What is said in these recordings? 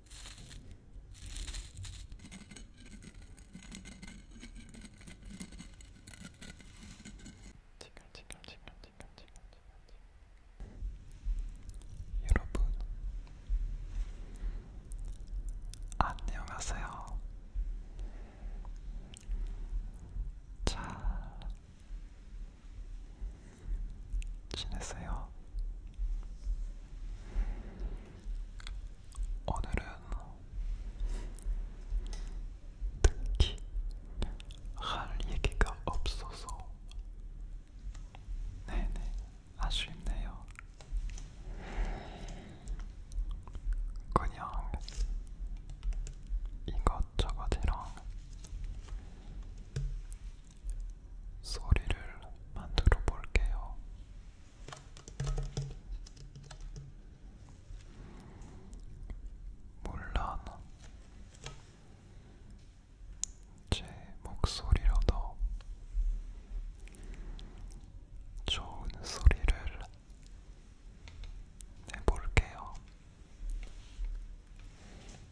여러분 안녕하세요. 잘 지냈어요? 오늘은 특히 할 얘기가 없어서 네네 아쉽네요. 그냥 이것저것이랑 소리를 만들어 볼게요. 물론 제 목소리로도 좋은 소리를 내볼게요.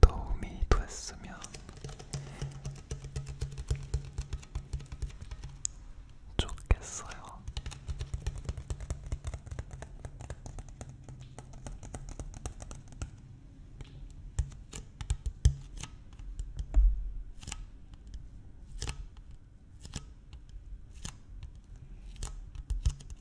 도움이 됐으면 좋겠어요.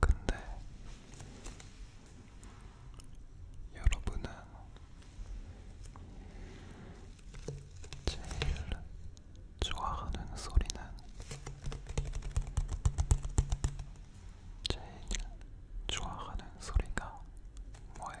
근데 여러분은 제일 좋아하는 소리는 제일 좋아하는 소리가 뭐예요?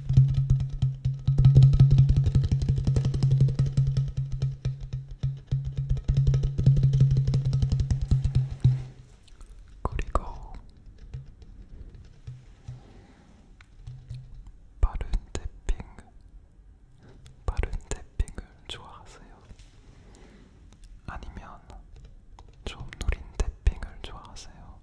그리고 빠른 탭핑, 빠른 탭핑을 좋아하세요? 아니면 좀 느린 탭핑을 좋아하세요?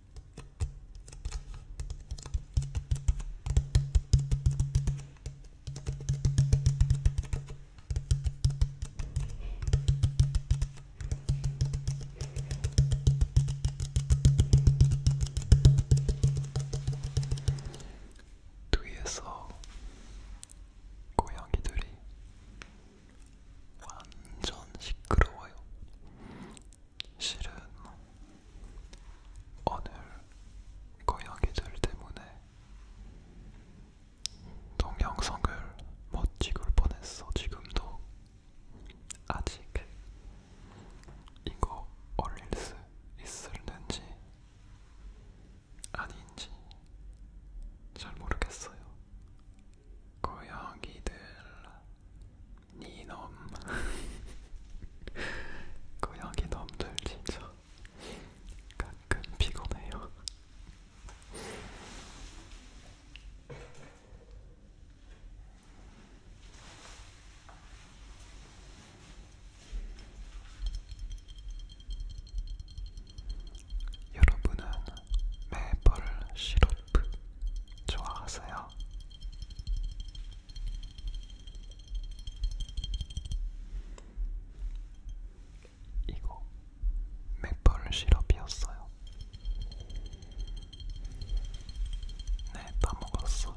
뒤에서 고양이들이 완전 시끄러워요. 실은 오늘 고양이들 때문에 동영상을 못 찍을 뻔했어 지금도 아직 이거 올릴 수 있을는지 아닌지 잘 모르겠어요. 고양이들 니놈 고양이 놈들 진짜 가끔 피곤해요. 여러분은 메이플 시럽 좋아하세요? 거예요. 이거 맥퍼를 시럽이었어요. 네, 다 먹었어요.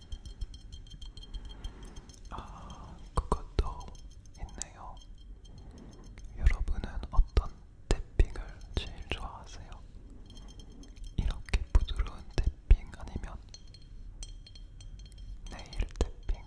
아, 그것도 있네요. 여러분은 어떤 태핑을 제일 좋아하세요? 이렇게 부드러운 태핑 아니면 네일 태핑?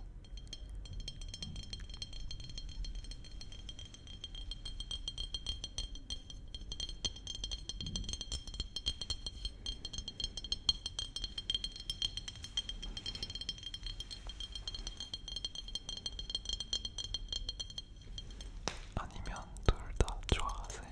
아니면 둘 다 좋아하세요?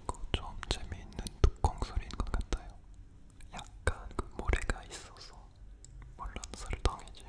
이거 좀 재미있는 뚜껑 소리인 것 같아요. 약간 그 모래가 있어서 물론 설탕이지만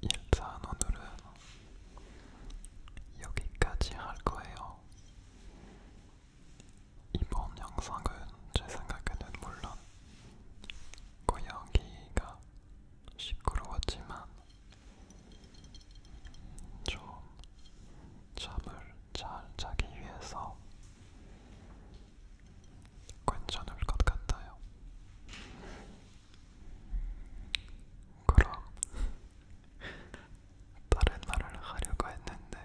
일단 오늘은 여기까지 할 거예요. 이번 영상은 제 생각에는 물론 고양이가 시끄러웠지만 좀 잠을 잘 자기 위해서 괜찮을 것 같아요. 그럼 다른 말을 하려고 했는데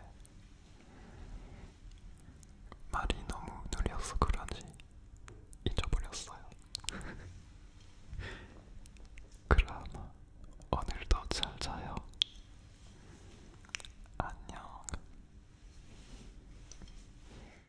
말이 너무 느려서 그런지 잊어버렸어요. 그럼 오늘도 잘 자요. 안녕.